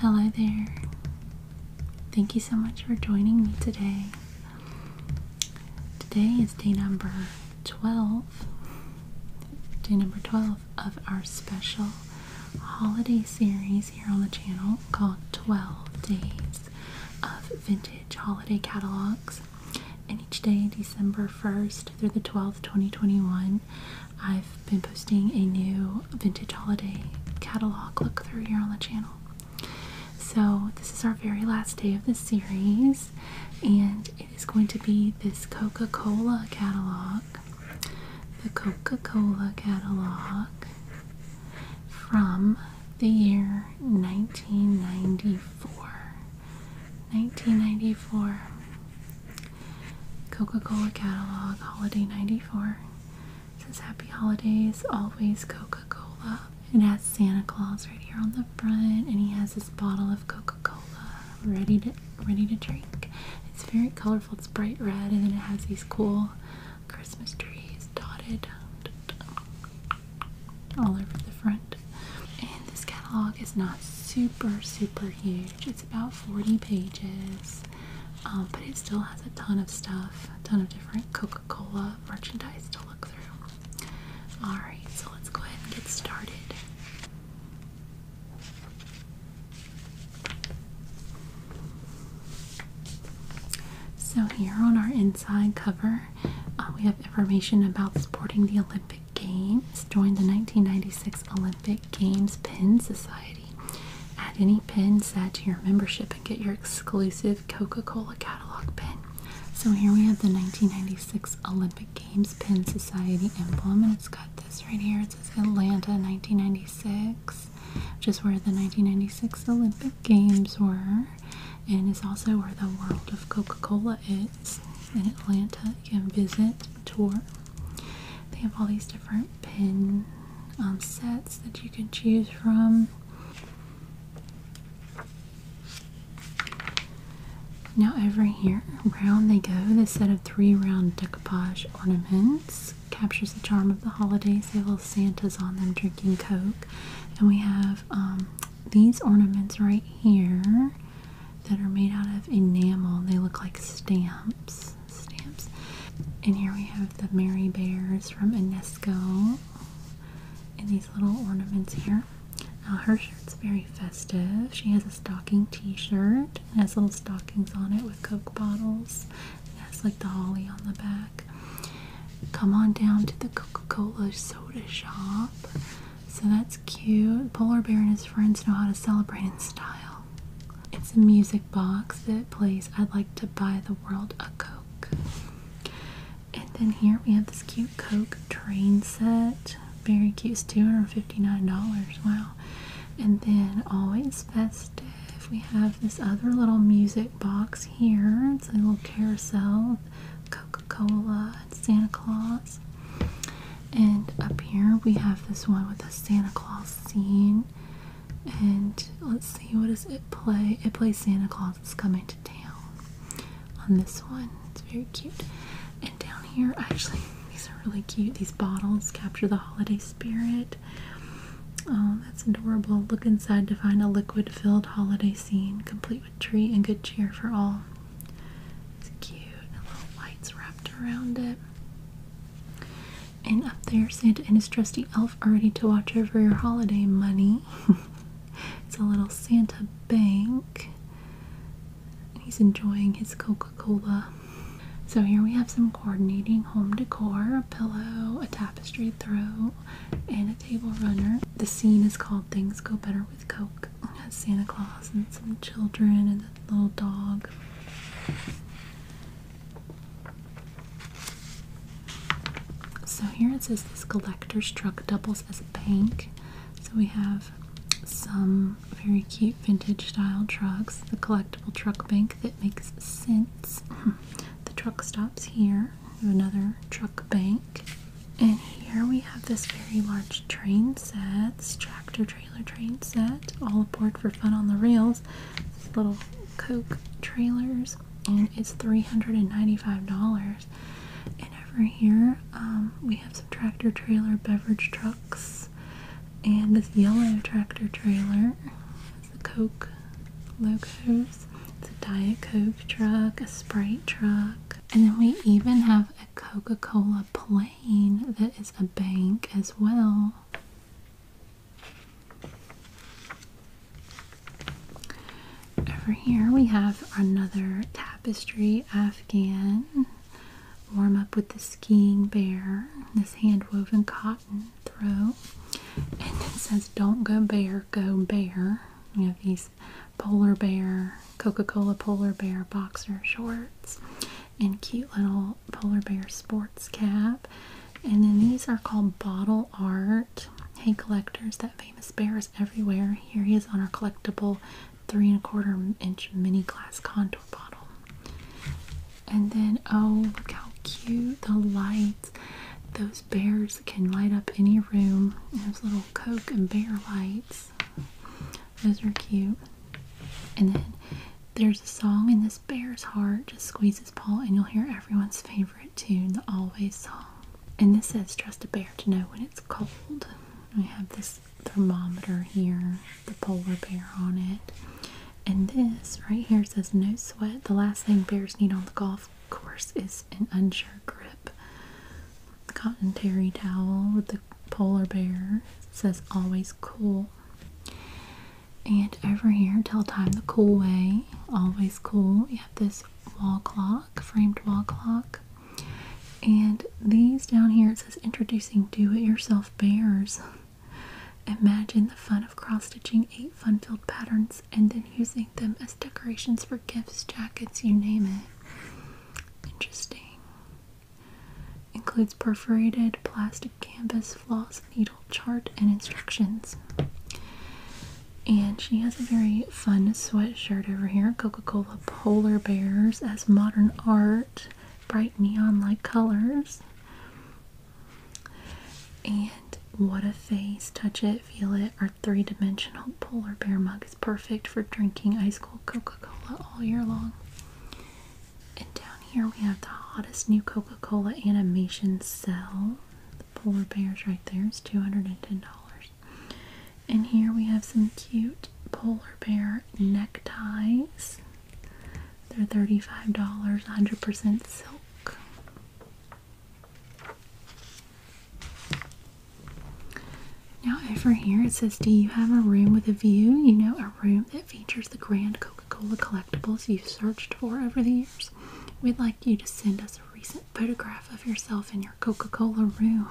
Hello there. Thank you so much for joining me today. Today is day number 12. Day number 12 of our special holiday series here on the channel called 12 Days of vintage holiday catalogs. And each day, December 1st through the 12th, 2021, I've been posting a new vintage holiday catalog look through here on the channel. So, this is our very last day of this series, and it is going to be this Coca Cola catalog. The Coca Cola catalog from the year 1994. 1994. Coca Cola catalog, Holiday 94. says Happy Holidays, always Coca Cola. It has Santa Claus right here on the front, and he has this bottle of Coca Cola ready to ready to drink. It's very colorful. It's bright red, and then it has these cool Christmas trees dotted um, all over the front. And this catalog is not super, super huge. It's about 40 pages, um, but it still has a ton of stuff, a ton of different Coca Cola merchandise to look through. Alright, so let's go ahead and get started. So, here on our inside cover, uh, we have information about supporting the Olympic Games. Join the 1996 Olympic Games Pin Society. Add any pin set to your membership and get your exclusive Coca Cola catalog pin. So, here we have the 1996 Olympic Games Pin Society emblem, and it's got this right here. It says Atlanta 1996 which is where the 1996 Olympic Games were, and is also where the World of Coca Cola is in Atlanta. You can visit, tour. They have all these different pin um, sets that you can choose from. Now over here, round they go, this set of three round decoupage ornaments captures the charm of the holidays. They have little Santas on them drinking Coke. And we have um, these ornaments right here that are made out of enamel. They look like stamps. Stamps. And here we have the Merry Bears from Enesco. And these little ornaments here. Now her shirt's very festive. She has a stocking t-shirt. It has little stockings on it with Coke bottles. It has like the holly on the back. Come on down to the Coca Cola soda shop. So that's cute. Polar Bear and his friends know how to celebrate in style. It's a music box that plays I'd Like to Buy the World a Coke. And then here we have this cute Coke train set. Very cute. It's $259. Wow. And then always festive. We have this other little music box here. It's a little carousel Coca-Cola Santa Claus. And up here we have this one with a Santa Claus scene. And let's see, what does it play? It plays Santa Claus is Coming to Town on this one. It's very cute. And down here, actually, these are really cute. These bottles capture the holiday spirit. Oh, that's adorable. Look inside to find a liquid filled holiday scene, complete with tree and good cheer for all. It's cute. And little lights wrapped around it. And up there, Santa and his trusty elf are ready to watch over your holiday money. it's a little Santa bank. He's enjoying his Coca Cola. So, here we have some coordinating home decor a pillow, a tapestry throw, and a table runner. The scene is called Things Go Better with Coke. has Santa Claus and some children and a little dog. So here it says this collector's truck doubles as a bank. So we have some very cute vintage style trucks, the collectible truck bank that makes sense. The truck stops here. another truck bank. And here we have this very large train set, tractor trailer train set, all aboard for fun on the rails. little Coke trailers, and it's $395. And over here, um, we have some tractor trailer beverage trucks, and this yellow tractor trailer the Coke logos, it's a Diet Coke truck, a Sprite truck, and then we even have a Coca Cola plane that is a bank as well. Over here we have another tapestry Afghan warm up with the skiing bear, this hand woven cotton throw. And it says, Don't go bear, go bear. You have these polar bear, Coca Cola polar bear boxer shorts, and cute little polar bear sports cap. And then these are called bottle art. Hey, collectors, that famous bear is everywhere. Here he is on our collectible three and a quarter inch mini glass contour bottle. And then, oh, look how cute the lights. Those bears can light up any room. Those little Coke and bear lights. Those are cute. And then there's a song in this bear's heart. Just squeeze his paw and you'll hear everyone's favorite tune, the Always song. And this says trust a bear to know when it's cold. We have this thermometer here, the polar bear on it. And this right here says no sweat. The last thing bears need on the golf course is an unsure grip. Cotton terry towel with the polar bear. says always cool. And over here, tell time the cool way. Always cool. You have this wall clock, framed wall clock. And these down here, it says introducing do-it-yourself bears. Imagine the fun of cross-stitching eight fun-filled patterns and then using them as decorations for gifts, jackets, you name it. Interesting. Includes perforated plastic canvas, floss, needle, chart, and instructions. And she has a very fun sweatshirt over here. Coca-Cola Polar Bears as modern art. Bright neon-like colors. And what a face. Touch it, feel it. Our three dimensional polar bear mug is perfect for drinking ice cold Coca Cola all year long. And down here we have the hottest new Coca Cola animation cell. The polar bear's right there. It's $210. And here we have some cute polar bear neckties. They're $35, 100% silk now, over here it says, Do you have a room with a view? You know, a room that features the grand Coca Cola collectibles you've searched for over the years. We'd like you to send us a recent photograph of yourself in your Coca Cola room.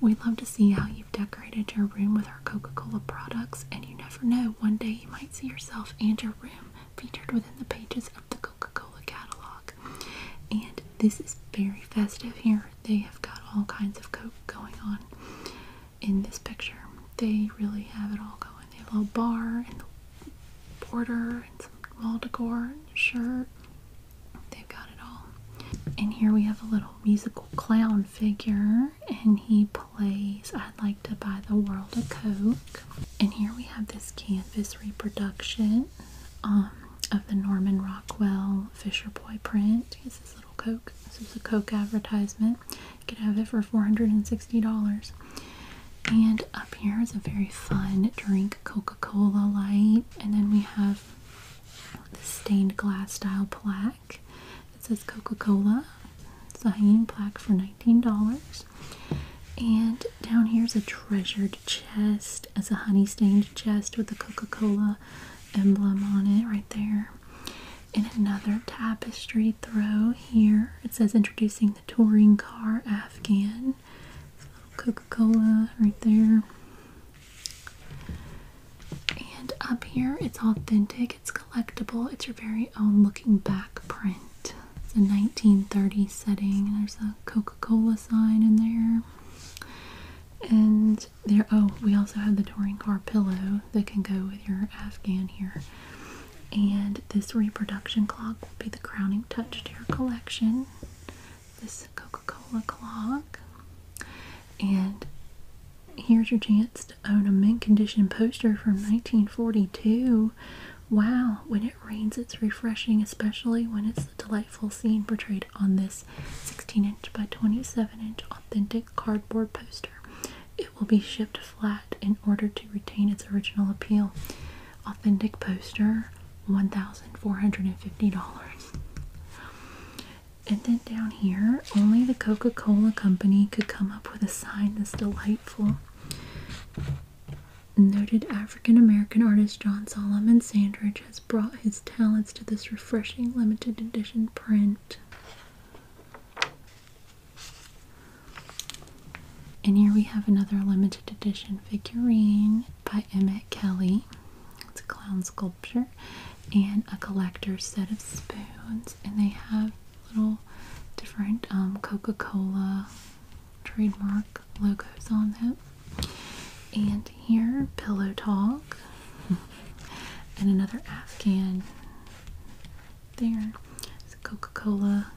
We'd love to see how you've decorated your room with our Coca Cola products, and you never know, one day you might see yourself and your room featured within the pages of the Coca Cola catalog. And this is very festive here. They have got all kinds of Coke going on in this picture. They really have it all going. They have a little bar and the border and some wall decor and shirt. They've got it all. And here we have a little musical clown figure, and he I'd like to buy the world a Coke. And here we have this canvas reproduction um, of the Norman Rockwell Fisher Boy print. It's this little Coke. This is a Coke advertisement. You could have it for $460. And up here is a very fun drink, Coca-Cola Light. And then we have the stained glass style plaque. It says Coca-Cola. It's a hanging plaque for $19. And down here is a treasured chest. as a honey-stained chest with the Coca-Cola emblem on it right there. And another tapestry throw here. It says introducing the touring car Afghan. Coca-Cola right there. And up here, it's authentic. It's collectible. It's your very own looking back print. It's a 1930 setting. There's a Coca-Cola sign in there. And there, oh, we also have the touring car pillow that can go with your Afghan here. And this reproduction clock will be the crowning touch to your collection. This Coca Cola clock. And Here's your chance to own a mint condition poster from 1942. Wow, when it rains, it's refreshing, especially when it's the delightful scene portrayed on this 16 inch by 27 inch authentic cardboard poster. It will be shipped flat in order to retain its original appeal. Authentic poster, $1,450. And then down here, only the Coca Cola Company could come up with a sign this delightful. Noted African American artist John Solomon Sandridge has brought his talents to this refreshing limited edition print. And here we have another limited edition figurine by Emmett Kelly. It's a clown sculpture and a collector's set of spoons, and they have little different um, Coca-Cola trademark logos on them, And here, Pillow Talk. and another Afghan there. It's Coca-Cola.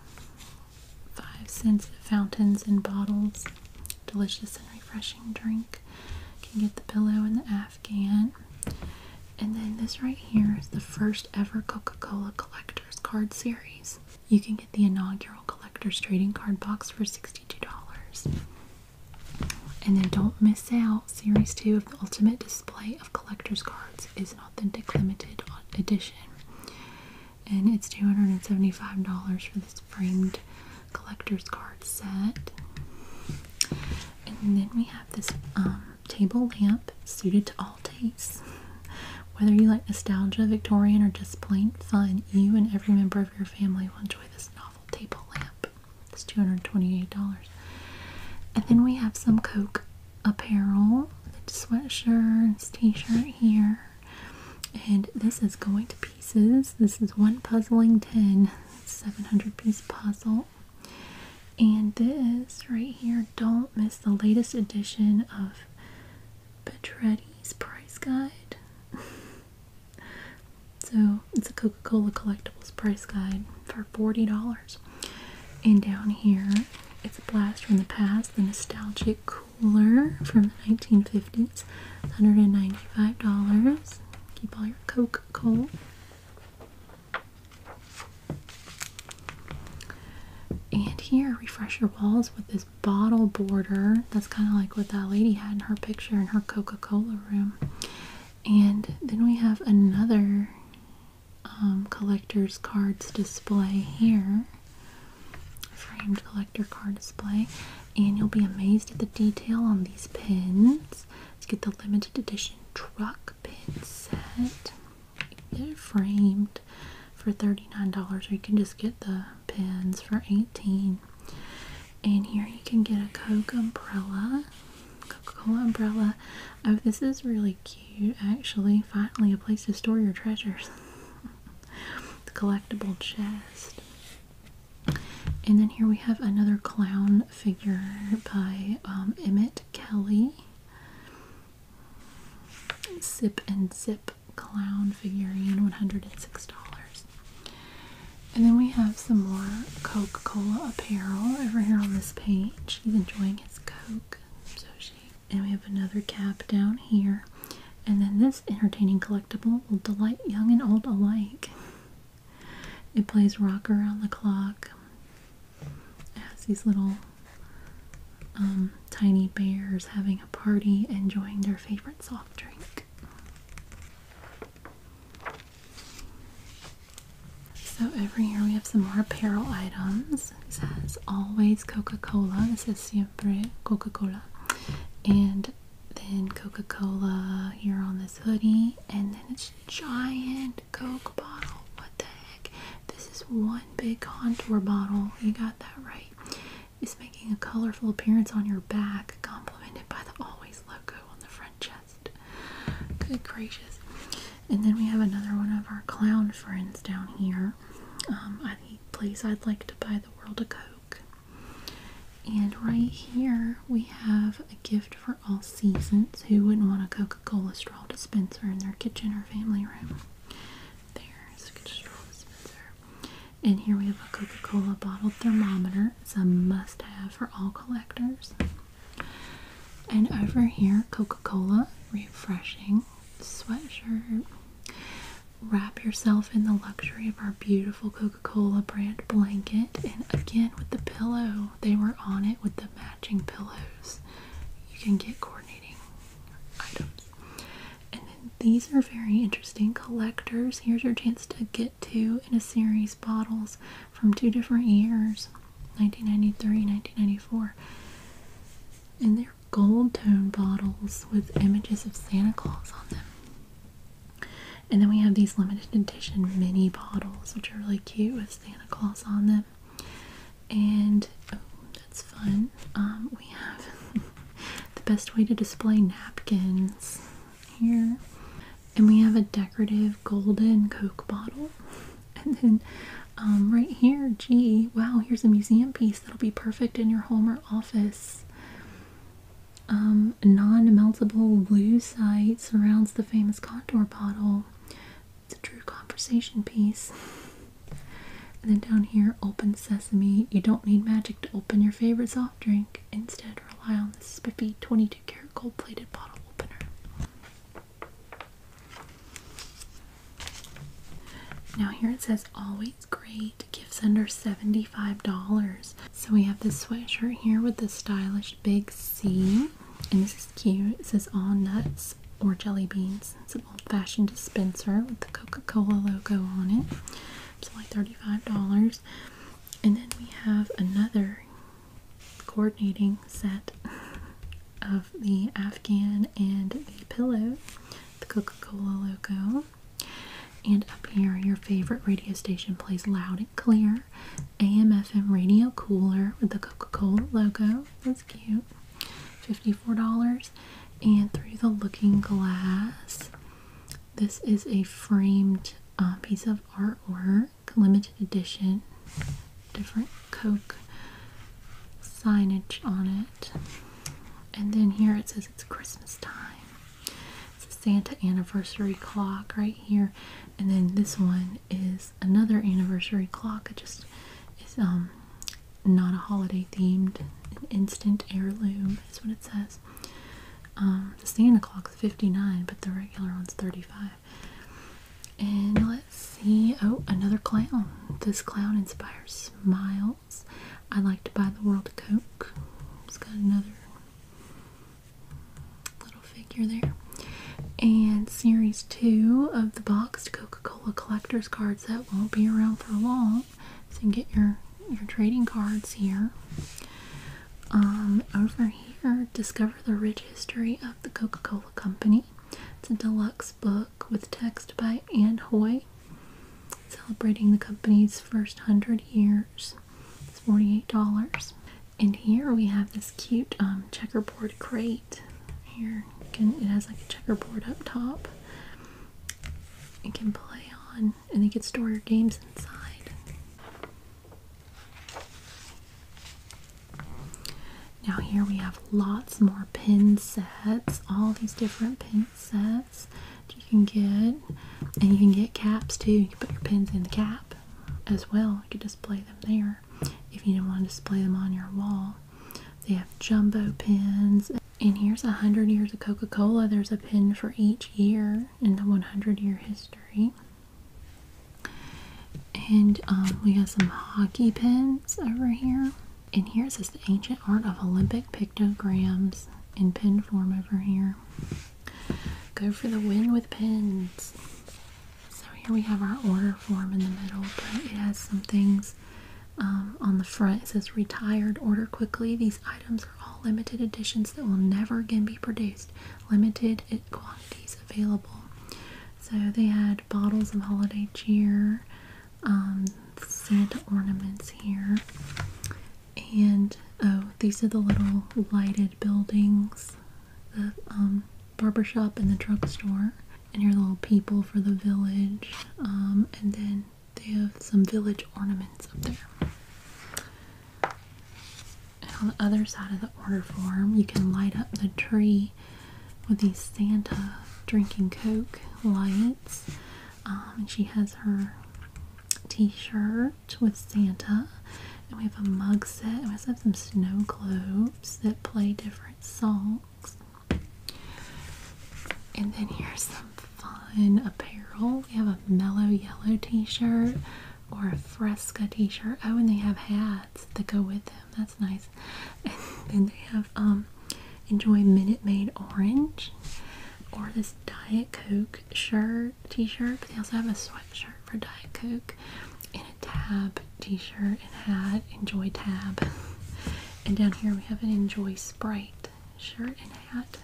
Five cents fountains and bottles. Delicious and refreshing drink. You can get the pillow and the and then this right here is the first ever Coca Cola Collector's Card Series. You can get the inaugural Collector's Trading Card Box for $62. And then don't miss out, Series 2 of the Ultimate Display of Collector's Cards is an authentic limited edition. And it's $275 for this framed collector's card set. And then we have this um, table lamp suited to all tastes. Whether you like nostalgia, Victorian, or just plain fun, you and every member of your family will enjoy this novel table lamp. It's $228. And then we have some Coke apparel, the sweatshirts, t-shirt here. And this is going to pieces. This is one puzzling tin, 700 piece puzzle. And this right here, don't miss the latest edition of Petretti's Price Guide. so it's a Coca-Cola Collectibles Price Guide for $40. And down here, it's a blast from the past, the nostalgic cooler from the 1950s, $195. Keep all your Coca-Cola. And here, refresh your walls with this bottle border. That's kind of like what that lady had in her picture in her Coca Cola room. And then we have another um, collector's cards display here framed collector card display. And you'll be amazed at the detail on these pins. Let's get the limited edition truck pin set. get framed for $39 or you can just get the pins for 18 And here you can get a Coke umbrella. Coca-Cola umbrella. Oh, this is really cute actually. Finally a place to store your treasures. the collectible chest. And then here we have another clown figure by um, Emmett Kelly. Zip and Zip clown figurine, $106. And then we have some more Coca Cola apparel over here on this page. He's enjoying his Coke. So she. And we have another cap down here. And then this entertaining collectible will delight young and old alike. It plays rock around the clock. It has these little um, tiny bears having a party, enjoying their favorite soft drink. So every year we have some more apparel items. It says always Coca-Cola. This is siempre Coca-Cola. And then Coca-Cola here on this hoodie. And then it's giant Coke bottle. What the heck? This is one big contour bottle. You got that right. It's making a colorful appearance on your back, complemented by the Always logo on the front chest. Good gracious. And then we have another one of our clown friends down here. Um, I think, please, I'd like to buy the world a Coke. And right here we have a gift for all seasons. Who wouldn't want a Coca-Cola straw dispenser in their kitchen or family room? There's a straw dispenser. And here we have a Coca-Cola bottle thermometer. It's a must-have for all collectors. And over here, Coca-Cola refreshing sweatshirt. Wrap yourself in the luxury of our beautiful Coca-Cola brand blanket. And again with the pillow, they were on it with the matching pillows, you can get coordinating items. And then these are very interesting collectors. Here's your chance to get two in a series bottles from two different years 1993, 1994. And they're gold tone bottles with images of Santa Claus on them. And then we have these limited edition mini bottles, which are really cute with Santa Claus on them. And oh, that's fun. Um, we have the best way to display napkins here. And we have a decorative golden Coke bottle. And then um, right here, G. wow, here's a museum piece that'll be perfect in your home or office. Um, non meltable blue sight surrounds the famous contour bottle. It's a true conversation piece. and then down here, open sesame. You don't need magic to open your favorite soft drink. Instead, rely on this spiffy 22 karat gold plated bottle opener. Now, here it says always great gifts under $75. So we have this sweatshirt here with the stylish big C. And this is cute. It says all nuts or jelly beans. It's an old-fashioned dispenser with the Coca-Cola logo on it. It's only $35. And then we have another coordinating set of the Afghan and the pillow, the Coca-Cola logo. And up here, your favorite radio station plays loud and clear cooler, AM/FM radio cooler with the Coca-Cola logo. That's cute. $54. And through the looking glass, this is a framed uh, piece of artwork, limited edition, different Coke signage on it. And then here it says it's Christmas time. It's a Santa anniversary clock right here. And then this one is another anniversary clock. It just is um not a holiday themed, instant heirloom is what it says. Um, the Santa clock's 59, but the regular one's 35. And let's see. Oh, another clown. This clown inspires smiles. I like to buy the world Coke. It's got another little figure there. And series two of the boxed Coca-Cola collector's cards that won't be around for long. So you can get your, your trading cards here. Um, over here, Discover the Rich History of the Coca-Cola Company. It's a deluxe book with text by Anne Hoy, celebrating the company's first hundred years. $48. And here we have this cute um, checkerboard crate. Here, it has like a checkerboard up top. You can play on, and you can store your games inside. Now here we have lots more pin sets, all these different pin sets you can get. And you can get caps too. You can put your pins in the cap as well. You can display them there. If you do not want to display them on your wall, they have jumbo pins. And here's 100 years of Coca Cola. There's a pin for each year in the 100 year history. And um, we got some hockey pins over here. And here's the ancient art of Olympic pictograms in pin form over here. Go for the win with pins. So here we have our order form in the middle, but it has some things um, on the front. It says retired, order quickly. These items are all limited editions that will never again be produced. Limited quantities available. So they had bottles of holiday cheer, um, Santa ornaments here, and oh, these are the little lighted buildings the um, barbershop and the drugstore, and your little people for the village. Um, and then they have some village ornaments up there. on the other side of the order form, you can light up the tree with these Santa drinking Coke lights. Um, and she has her t shirt with Santa. And we have a mug set. we also have some snow globes that play different songs. And then here's some fun apparel. We have a mellow yellow t-shirt or a fresca t-shirt. Oh, and they have hats that go with them. That's nice. And then they have um enjoy Minute Maid Orange or this Diet Coke shirt t-shirt, they also have a sweatshirt for Diet Coke and a Tab t-shirt and hat, Enjoy Tab. And down here we have an Enjoy Sprite shirt and hat.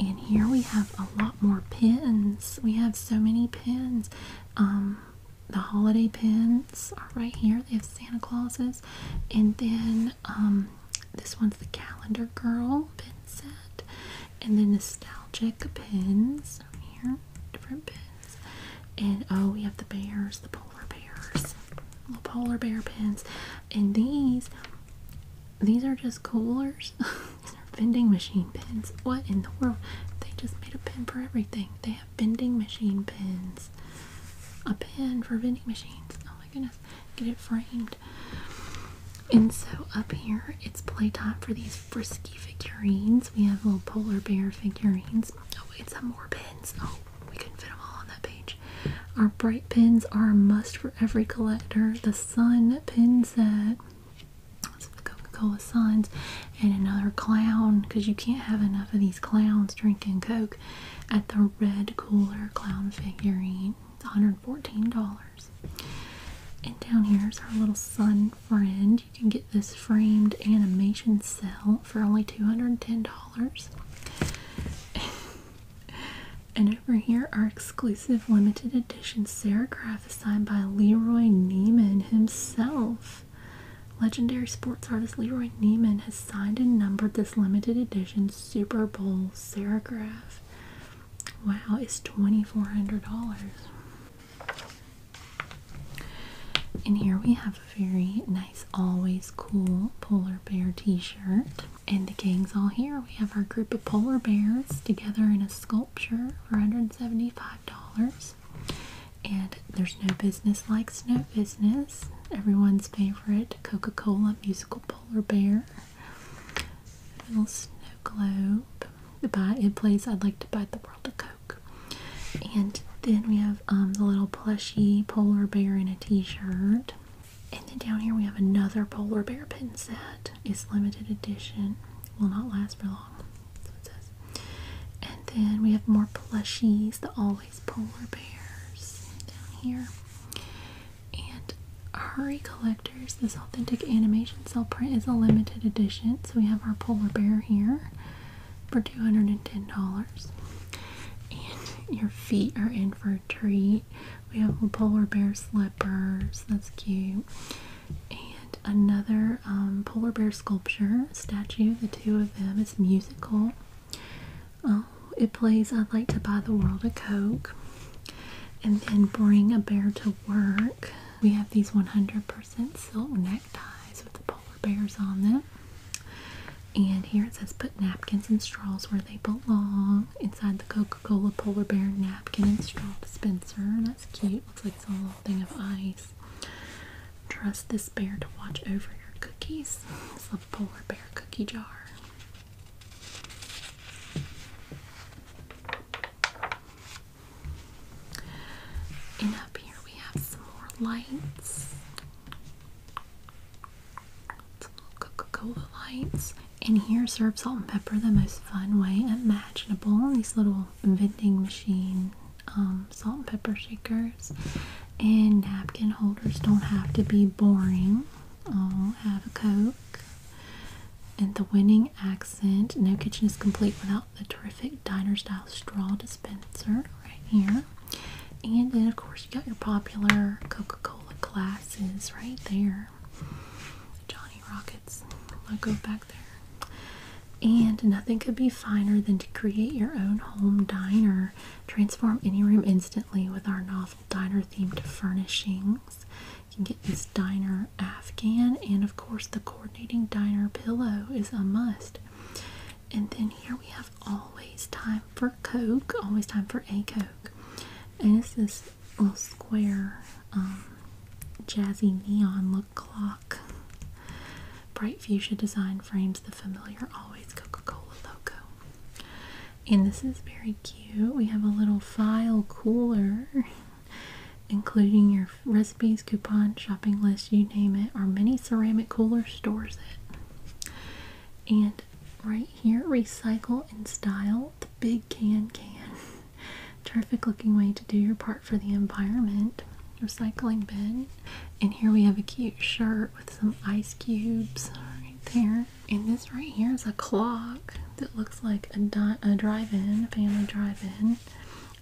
And here we have a lot more pins. We have so many pins. Um, the holiday pins are right here. They have Santa Clauses. And then um, this one's the Calendar Girl pin set and then nostalgic pins here, different pins, and oh, we have the bears, the polar bears, little polar bear pins, and these, these are just coolers. these are vending machine pins. What in the world? They just made a pin for everything. They have vending machine pins, a pin for vending machines. Oh my goodness get it framed. And so up here, it's playtime for these frisky figurines. We have little polar bear figurines. Oh, wait, some more pins. Oh, we couldn't fit them all on that page. Our bright pins are a must for every collector. The sun pin set. That's the Coca-Cola signs? And another clown, because you can't have enough of these clowns drinking Coke at the red cooler clown figurine. $114. And down here is our little sun friend. You can get this framed animation cell for only $210. and over here, our exclusive limited edition serigraph is signed by Leroy Neiman himself. Legendary sports artist Leroy Neiman has signed and numbered this limited edition Super Bowl serigraph. Wow, it's $2,400. And here we have a very nice, always cool polar bear t shirt. And the gang's all here. We have our group of polar bears together in a sculpture for $175. And there's no business like snow business, everyone's favorite Coca Cola musical polar bear little snow globe. By in place, I'd like to buy the world a Coke. And then we have um, the little plushy polar bear in a t-shirt. And then down here we have another polar bear pin set. It's limited edition. Will not last for long. And then we have more plushies, the always polar bears down here. And Hurry Collectors, this authentic animation cell print is a limited edition. So we have our polar bear here for $210. And your feet are in for a treat. We have polar bear slippers. That's cute. And another um, polar bear sculpture statue. The two of them. It's musical. Oh, it plays I'd Like to Buy the World a Coke. And then bring a bear to work. We have these 100% silk neckties with the polar bears on them. And here it says put napkins and straws where they belong inside the Coca Cola polar bear napkin and straw dispenser. That's cute. Looks like it's a little thing of ice. Trust this bear to watch over your cookies. It's a polar bear cookie jar. And up here we have some more lights. Some little Coca-Cola lights. And here serve salt and pepper the most fun way imaginable. These little vending machine um, salt and pepper shakers and napkin holders don't have to be boring. I'll have a Coke. And the winning accent. No kitchen is complete without the terrific diner style straw dispenser right here. And then, of course, you got your popular Coca Cola glasses right there. Johnny Rockets logo back there. And nothing could be finer than to create your own home diner. Transform any room instantly with our novel diner themed furnishings. You can get this diner afghan, and of course, the coordinating diner pillow is a must. And then here we have always time for Coke, always time for a Coke. And it's this little square, um, jazzy neon look clock. Bright fuchsia design frames the familiar always Coca Cola logo. And this is very cute. We have a little file cooler, including your recipes, coupon, shopping list, you name it. Our mini ceramic cooler stores it. And right here, recycle and style the big can can. Terrific looking way to do your part for the environment. Recycling bin. And here we have a cute shirt with some ice cubes right there and this right here is a clock that looks like a, drive-in, a family drive-in.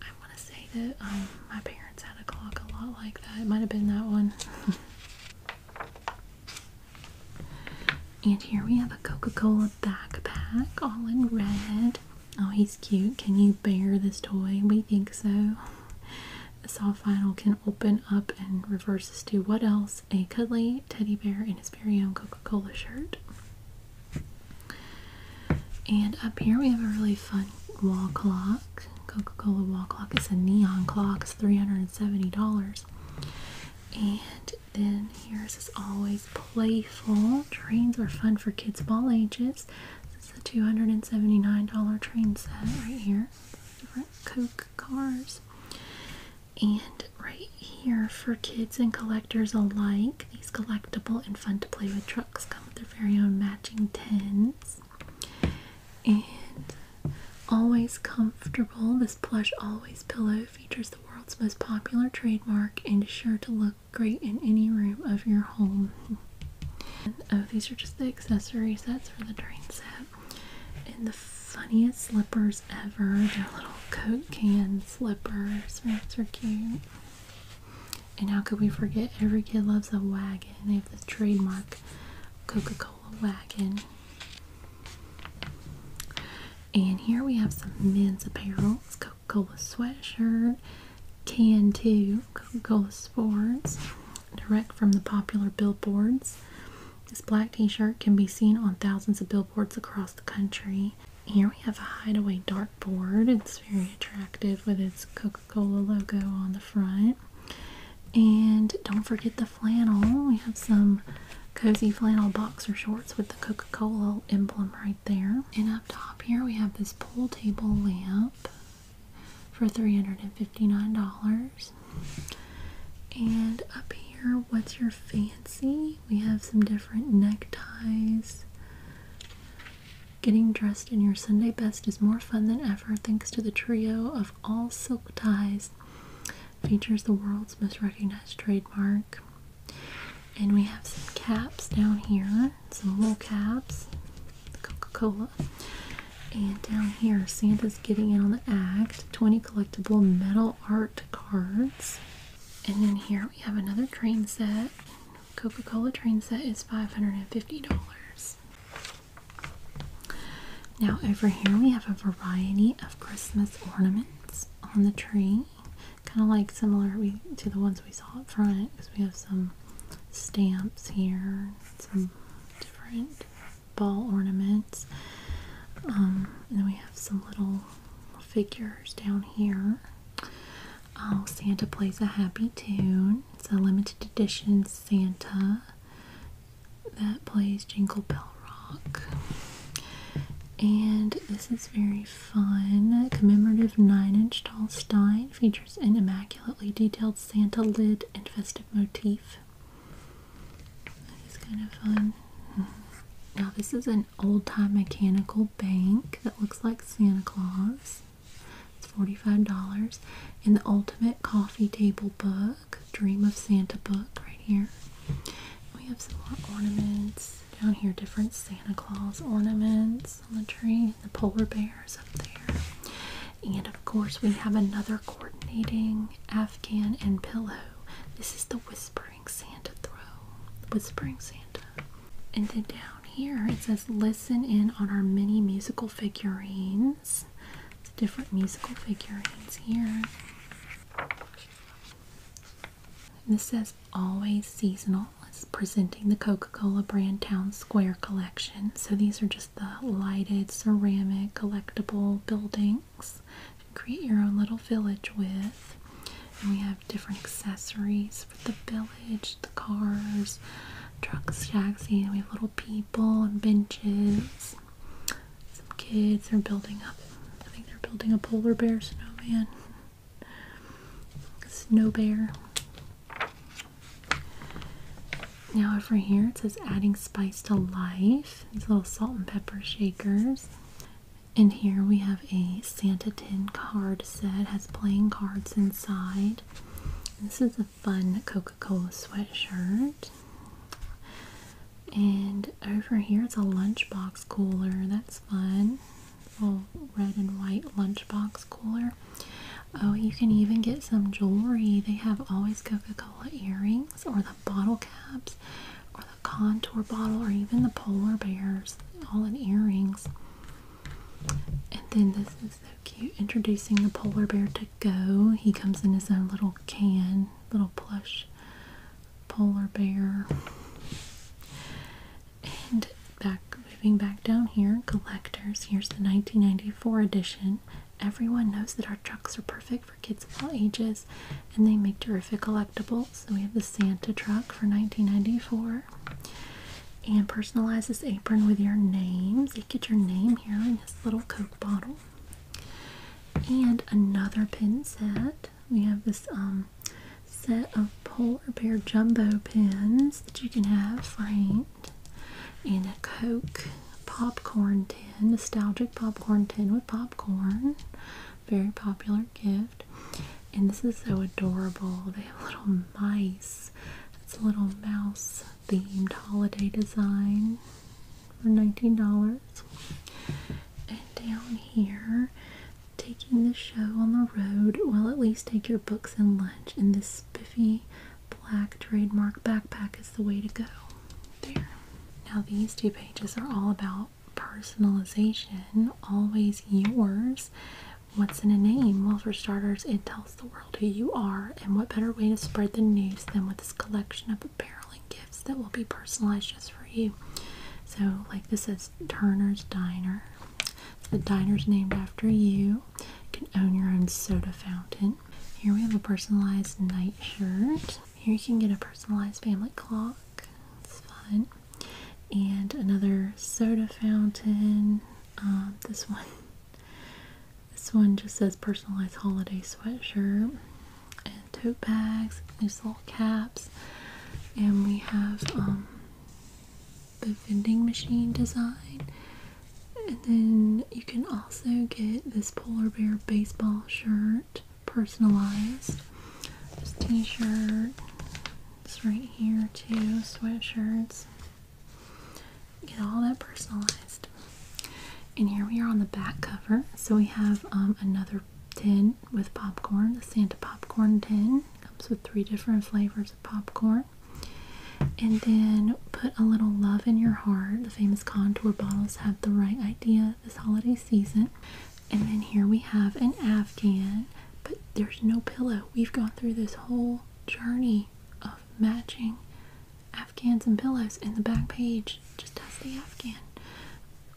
I want to say that um, my parents had a clock a lot like that. It might have been that one. and here we have a Coca-Cola backpack, all in red. Oh, he's cute. Can you bear this toy? We think so. The saw final can open up and reverses to what else? a cuddly teddy bear in his very own Coca-Cola shirt. And up here we have a really fun wall clock. Coca-Cola wall clock. It's a neon clock. It's $370. And then here's this always playful. Trains are fun for kids of all ages. This is a $279 train set right here. Different Coke cars. And right here for kids and collectors alike, these collectible and fun to play with trucks come with their very own matching tins. And always comfortable, this plush always pillow features the world's most popular trademark and is sure to look great in any room of your home. oh, these are just the accessory sets for the train set. And the funniest slippers ever. They're little Coke can slippers. Those are cute. And how could we forget? Every kid loves a wagon. They have the trademark Coca-Cola wagon. And here we have some men's apparel. Coca-Cola sweatshirt, can too, Coca-Cola sports, direct from the popular billboards. This black t-shirt can be seen on thousands of billboards across the country. Here we have a hideaway dark board. It's very attractive with its Coca-Cola logo on the front. And don't forget the flannel. We have some cozy flannel boxer shorts with the Coca-Cola emblem right there. And up top here we have this pool table lamp for $359. And up here, what's your fancy? We have some different neckties. Getting dressed in your Sunday best is more fun than ever thanks to the trio of all silk ties. Features the world's most recognized trademark. And we have some caps down here, some wool caps, Coca Cola. And down here, Santa's getting in on the act 20 collectible metal art cards. And then here we have another train set. Coca-Cola train set is $550. Now over here we have a variety of Christmas ornaments on the tree. Kind of like similar to the ones we saw up front because we have some stamps here, some different ball ornaments. Um, and then we have some little figures down here. Oh, Santa plays a happy tune. It's a limited edition Santa that plays Jingle Bell Rock. And this is very fun. commemorative 9 inch tall stein features an immaculately detailed Santa lid and festive motif. That is kind of fun. Now this is an old-time mechanical bank that looks like Santa Claus. It's $45. And the ultimate coffee table book, Dream of Santa book right here. We have some more ornaments down here, different Santa Claus ornaments on the tree, the polar bear is up there. And of course we have another coordinating Afghan and pillow this is the Whispering Santa throw, Whispering Santa. And then down here it says listen in on our mini musical figurines. The different musical figurines here. And this says always seasonal. It's presenting the Coca-Cola brand Town Square collection. So these are just the lighted ceramic collectible building create your own little village with. we have different accessories for the village, the cars, trucks, taxi, we have little people and benches. Some kids are building up. I think they're building a polar bear snowman. Snow bear. Now over here it says adding spice to life these little salt and pepper shakers. And here we have a Santa tin card set, has playing cards inside. This is a fun Coca-Cola sweatshirt. And over here it's a lunchbox cooler. That's fun. Little red and white lunchbox cooler. Oh, you can even get some jewelry. They have always Coca-Cola earrings or the bottle caps or the contour bottle or even the polar bears all in earrings and then this is so cute introducing the polar bear to go he comes in his own little can little plush polar bear and back moving back down here collectors here's the 1994 edition Everyone knows that our trucks are perfect for kids of all ages and they make terrific collectibles. So we have the Santa truck for 1994 and personalize this apron with your names. So you get your name here in this little Coke bottle. And another pin set. We have this um, set of polar bear jumbo pins that you can have framed in a Coke popcorn tin, nostalgic popcorn tin with popcorn. Very popular gift. And this is so adorable. They have little mice. It's a little mouse themed holiday design for $19. And down here, taking the show on the road. Well, at least take your books and lunch. And this spiffy black trademark backpack is the way to go. There. Now, these two pages are all about personalization. Always yours. What's in a name? Well, for starters, it tells the world who you are, and what better way to spread the news than with this collection of apparel and gifts that will be personalized just for you. So, like this is Turner's Diner. the diner's named after you. can own your own soda fountain. Here we have a personalized night shirt. Here you can get a personalized family clock. It's fun. And another soda fountain. Um, this one. This one just says personalized holiday sweatshirt and tote bags, these little caps. And we have um, the vending machine design. And then you can also get this polar bear baseball shirt personalized. This t-shirt. it's right here too. Sweatshirts. Get all that personalized. And here we are on the back cover. So we have um, another tin with popcorn. The Santa popcorn tin comes with three different flavors of popcorn. And then put a little love in your heart the famous contour bottles have the right idea this holiday season. And then here we have an Afghan, but there's no pillow. We've gone through this whole journey of matching Afghans and pillows, and the back page just has the Afghan.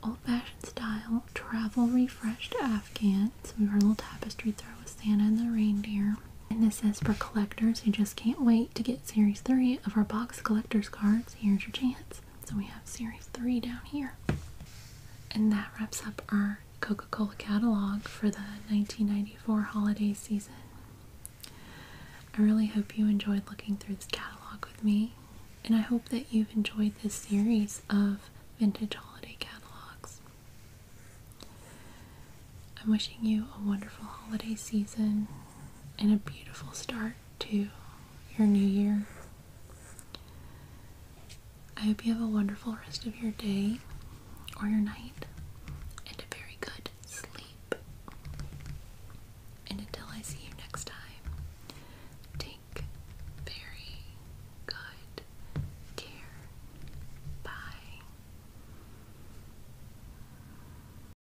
Old fashioned style, travel refreshed Afghan. So we have got a little tapestry throw with Santa and the reindeer. And this is for collectors who just can't wait to get series three of our box collectors cards. So here's your chance. So we have series three down here. And that wraps up our Coca Cola catalog for the 1994 holiday season. I really hope you enjoyed looking through this catalog with me, and I hope that you've enjoyed this series of vintage holiday catalogs. I'm wishing you a wonderful holiday season and a beautiful start to your new year. I hope you have a wonderful rest of your day or your night and a very good sleep. And until I see you next time, take very good care. Bye.